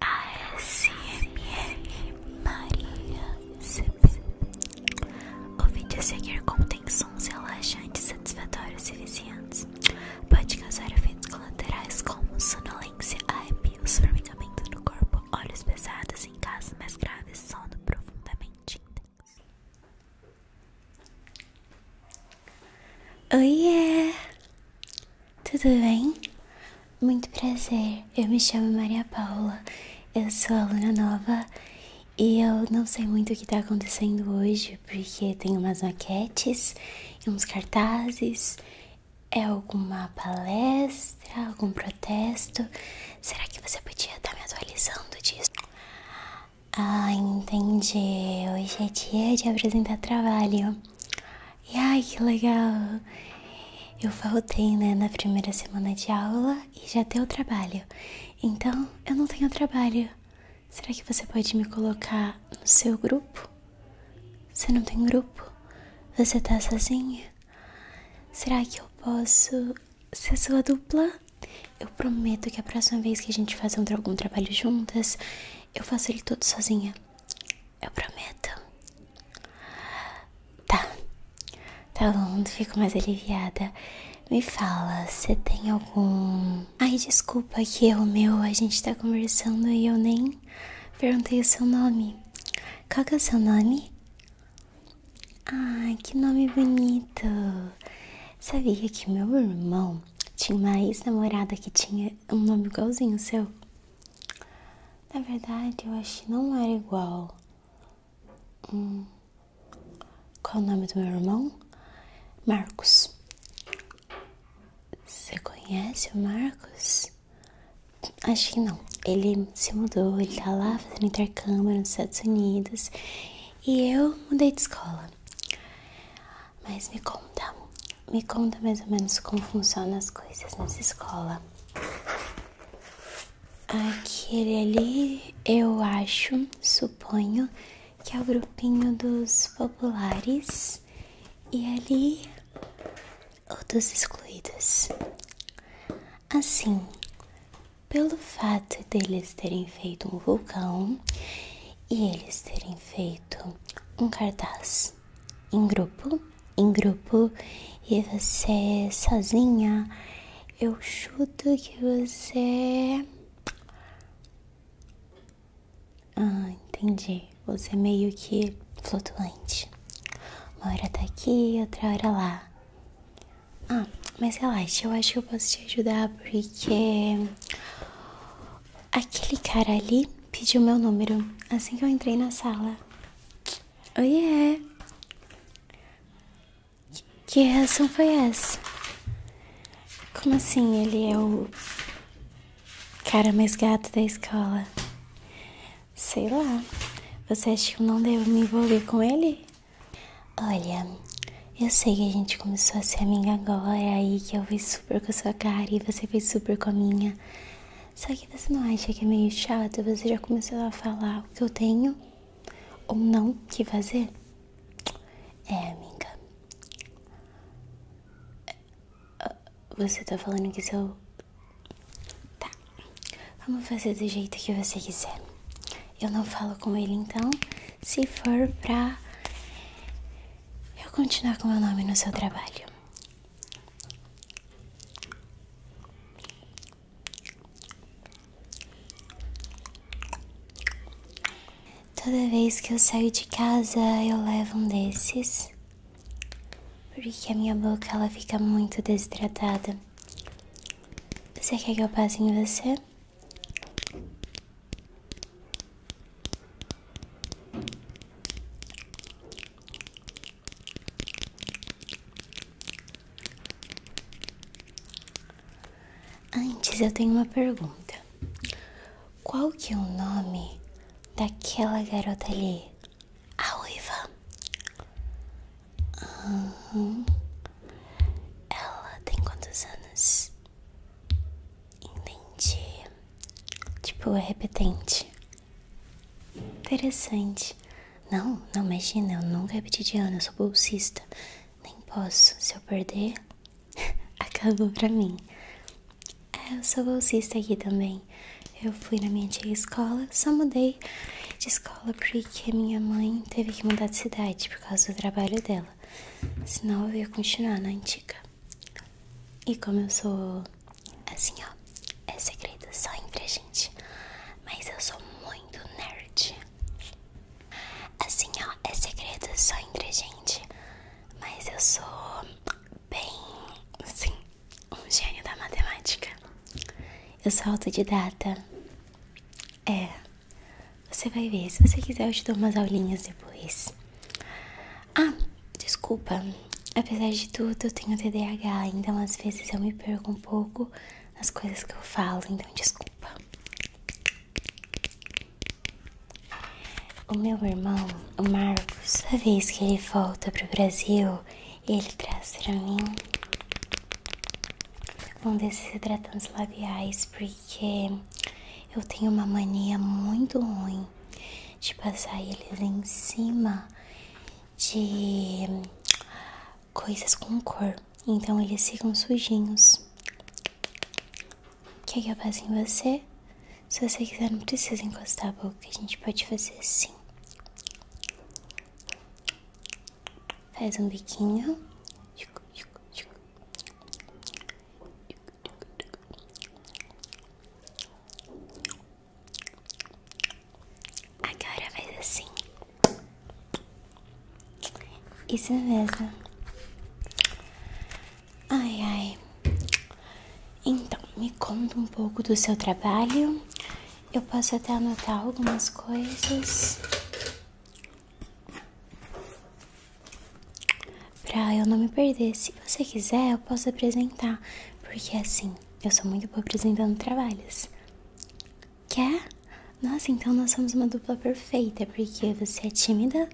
ASMR Maria CP. O vídeo a seguir contém sons relaxantes, satisfatórios e viciantes. Pode causar efeitos colaterais como sonolência, arrepios, formigamento no corpo, olhos pesados em casos mais graves, sono profundamente intenso. Oiê! Tudo bem? Muito prazer, eu me chamo Maria Paula, eu sou aluna nova e eu não sei muito o que está acontecendo hoje porque tem umas maquetes, uns cartazes, é alguma palestra, algum protesto. Será que você podia estar tá me atualizando disso? Ah, entendi. Hoje é dia de apresentar trabalho. E ai, que legal! Eu faltei, né, na primeira semana de aula e já deu trabalho. Então, eu não tenho trabalho. Será que você pode me colocar no seu grupo? Você não tem grupo? Você tá sozinha? Será que eu posso ser sua dupla? Eu prometo que a próxima vez que a gente fazer algum trabalho juntas, eu faço ele todo sozinha. Eu prometo. Tá. Tá bom, fico mais aliviada. Me fala, você tem algum. Ai, desculpa que é o meu. A gente tá conversando e eu nem perguntei o seu nome. Qual que é o seu nome? Ah, que nome bonito. Sabia que meu irmão tinha uma ex-namorada que tinha é um nome igualzinho seu. Na verdade, eu acho que não era igual. Hum, qual é o nome do meu irmão? Marcos. Você conhece o Marcos? Acho que não. Ele se mudou, ele tá lá fazendo intercâmbio nos Estados Unidos. E eu mudei de escola. Mas me conta, me conta mais ou menos como funcionam as coisas nessa escola. Aquele ali, eu acho, suponho, que é o grupinho dos populares e ali o dos excluídos. Assim, pelo fato deles terem feito um vulcão e eles terem feito um cartaz em grupo, em grupo e você sozinha. Eu chuto que você. Ah, entendi. Você meio que flutuante. Uma hora tá aqui, outra hora lá. Ah, mas relaxa, eu acho que eu posso te ajudar porque Aquele cara ali pediu meu número assim que eu entrei na sala. Oiê! Oh, que, que reação foi essa? Como assim ele é o cara mais gato da escola? Sei lá. Você acha que eu não devo me envolver com ele? Olha, eu sei que a gente começou a ser amiga agora é aí que eu vi super com a sua cara e você fez super com a minha. Só que você não acha que é meio chato? Você já começou a falar o que eu tenho ou não que fazer? É, amiga. Ah, você tá falando que seu. Tá. Vamos fazer do jeito que você quiser. Eu não falo com ele então. Se for pra eu continuar com meu nome no seu trabalho. Toda vez que eu saio de casa, eu levo um desses. Porque a minha boca ela fica muito desidratada. Você quer que eu passe em você? Antes eu tenho uma pergunta. Qual que é o nome daquela garota ali? A Uiva. Uhum. Ela tem quantos anos? Entendi. Tipo, é repetente. Interessante. Não, não, imagina, eu nunca repeti de ano, eu sou bolsista. Nem posso. Se eu perder, acabou pra mim. É, eu sou bolsista aqui também. Eu fui na minha antiga escola, só mudei de escola porque minha mãe teve que mudar de cidade por causa do trabalho dela dela. Senão eu ia continuar na antiga. E como eu sou assim, ó, é segredo só entre a gente. Mas eu sou muito nerd. Assim, ó, é segredo só entre a gente. Mas eu sou bem, assim, um gênio da matemática. Eu sou autodidata. É. Você vai ver. Se você quiser, eu te dou umas aulinhas depois. Ah, desculpa. Apesar de tudo, eu tenho TDAH, então às vezes eu me perco um pouco nas coisas que eu falo, então desculpa. O meu irmão, o Marcos, a vez que ele volta para o Brasil, ele traz para mim um desses hidratantes labiais porque eu tenho uma mania muito ruim de passar eles em cima de coisas com cor. Então eles ficam sujinhos. Quer que eu passe em você? Se você quiser, não precisa encostar a boca. A gente pode fazer assim. Faz um biquinho. Agora faz assim. Isso mesmo. Ai, ai. Então, me conta um pouco do seu trabalho. Eu posso até anotar algumas coisas. Pra eu não me perder, se você quiser, eu posso apresentar, porque assim, eu sou muito boa apresentando trabalhos. Quer? Nossa, então nós somos uma dupla perfeita, porque você é tímida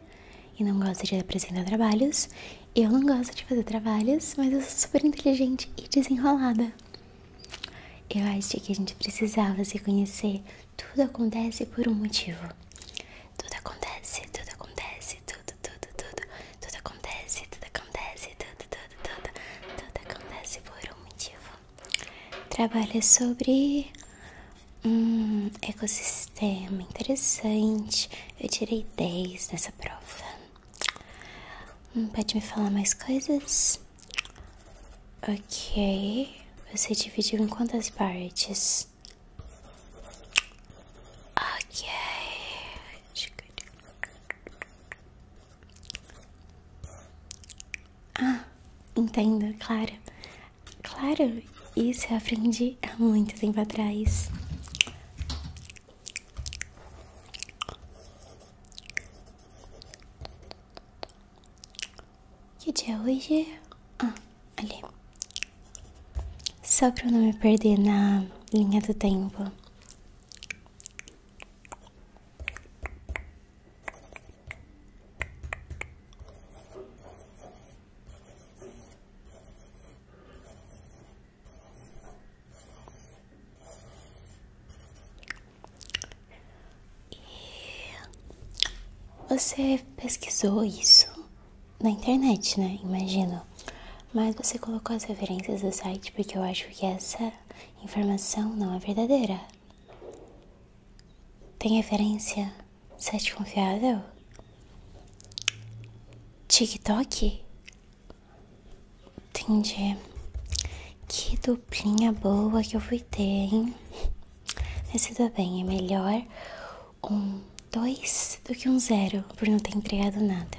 e não gosta de apresentar trabalhos, eu não gosto de fazer trabalhos, mas eu sou super inteligente e desenrolada. Eu acho que a gente precisava se conhecer. Tudo acontece por um motivo. Tudo acontece, tudo acontece, tudo, tudo, tudo. Tudo acontece, tudo acontece, tudo, tudo, tudo. Tudo acontece por um motivo. Trabalha sobre um ecossistema interessante. Eu tirei 10 nessa prova. Hum, pode me falar mais coisas? Ok, você dividiu em quantas partes? Ok. Ah, entendo, claro. Claro, isso eu aprendi há muito tempo atrás. Que dia é hoje? Ah, ali. Só para eu não me perder na linha do tempo. E você pesquisou isso na internet, né? Imagino. Mas você colocou as referências do site porque eu acho que essa informação não é verdadeira. Tem referência site confiável? TikTok? Entendi. Que duplinha boa que eu fui ter, hein? Mas tudo bem, é melhor um 2 do que um zero por não ter entregado nada.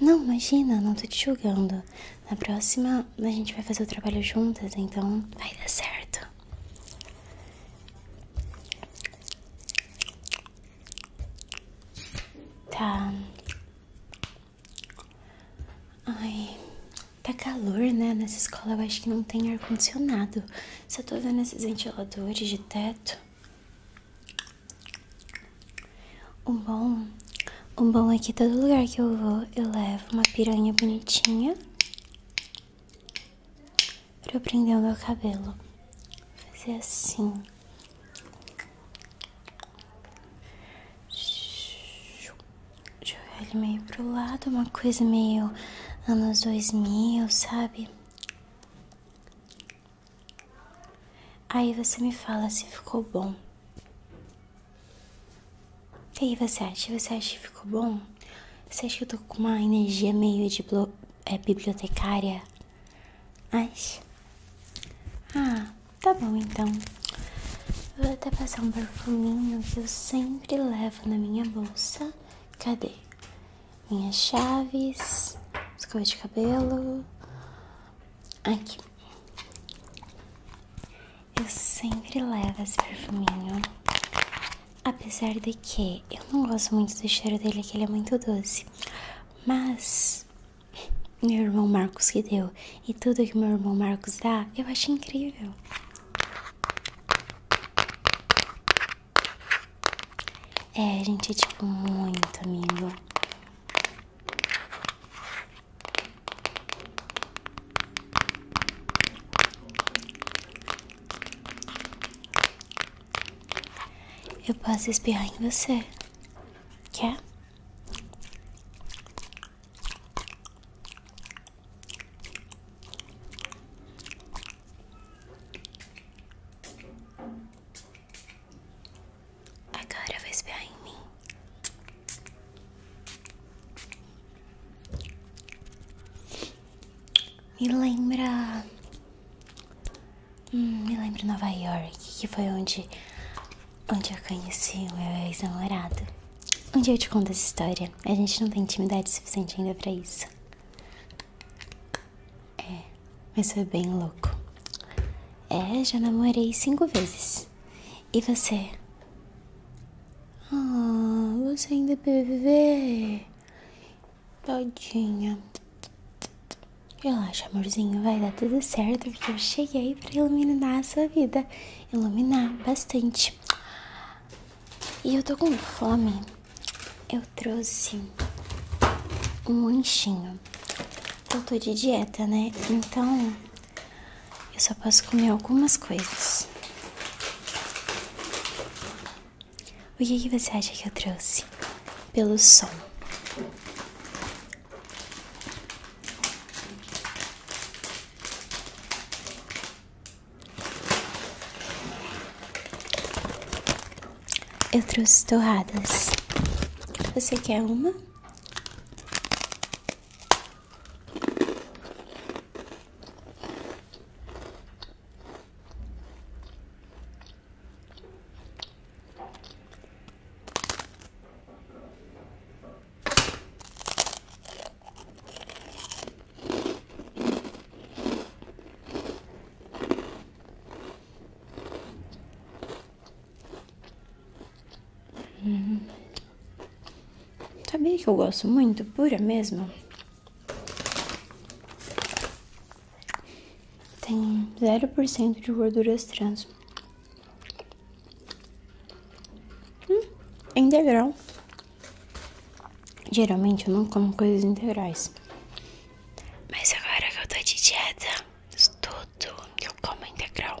Não, imagina, não tô te julgando. Na próxima a gente vai fazer o trabalho juntas, então vai dar certo. Tá. Ai, tá calor, né? Nessa escola eu acho que não tem ar-condicionado. Só tô vendo esses ventiladores de teto. O bom, o bom é que todo lugar que eu vou, eu levo uma piranha bonitinha pra eu prender o meu cabelo. Fazer assim. Jogar ele meio pro lado, uma coisa meio anos 2000, sabe? Aí você me fala se ficou bom. E aí você acha? Você acha que ficou bom? Você acha que eu tô com uma energia meio de é, bibliotecária? Mas. Ah, tá bom então. Vou até passar um perfuminho que eu sempre levo na minha bolsa. Cadê? Minhas chaves, escova de cabelo. Aqui. Eu sempre levo esse perfuminho. Apesar de que eu não gosto muito do cheiro dele, que ele é muito doce. Mas meu irmão Marcos que deu. E tudo que meu irmão Marcos dá, eu acho incrível. É, gente, tipo, muito amigo. Eu posso espirrar em você. Quer? Agora vai espiar em mim. Me lembra Hum, me lembro de Nova York, que foi onde, onde eu conheci o meu ex-namorado. Um dia eu te conto essa história. A gente não tem intimidade suficiente ainda para isso. É, mas foi bem louco. É, já namorei cinco vezes. E você? Ah, você ainda é bebê. Todinha. Relaxa, amorzinho, vai dar tudo certo, porque eu cheguei para iluminar a sua vida. Iluminar bastante. E eu tô com fome. Eu trouxe um lanchinho. Eu tô de dieta, né? Então, eu só posso comer algumas coisas. O que, você acha que eu trouxe? Pelo som. Eu trouxe torradas. Você quer uma? Uhum. Sabe que eu gosto muito? Pura mesmo? Tem 0% de gorduras trans. Hum, integral. Geralmente eu não como coisas integrais. Mas agora que eu tô de dieta, tudo que eu como é integral.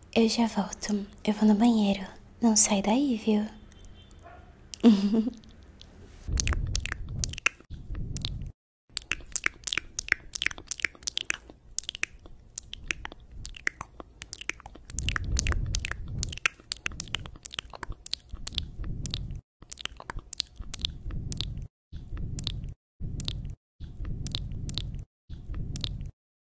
Eu já volto. Eu vou no banheiro. Não sai daí, viu?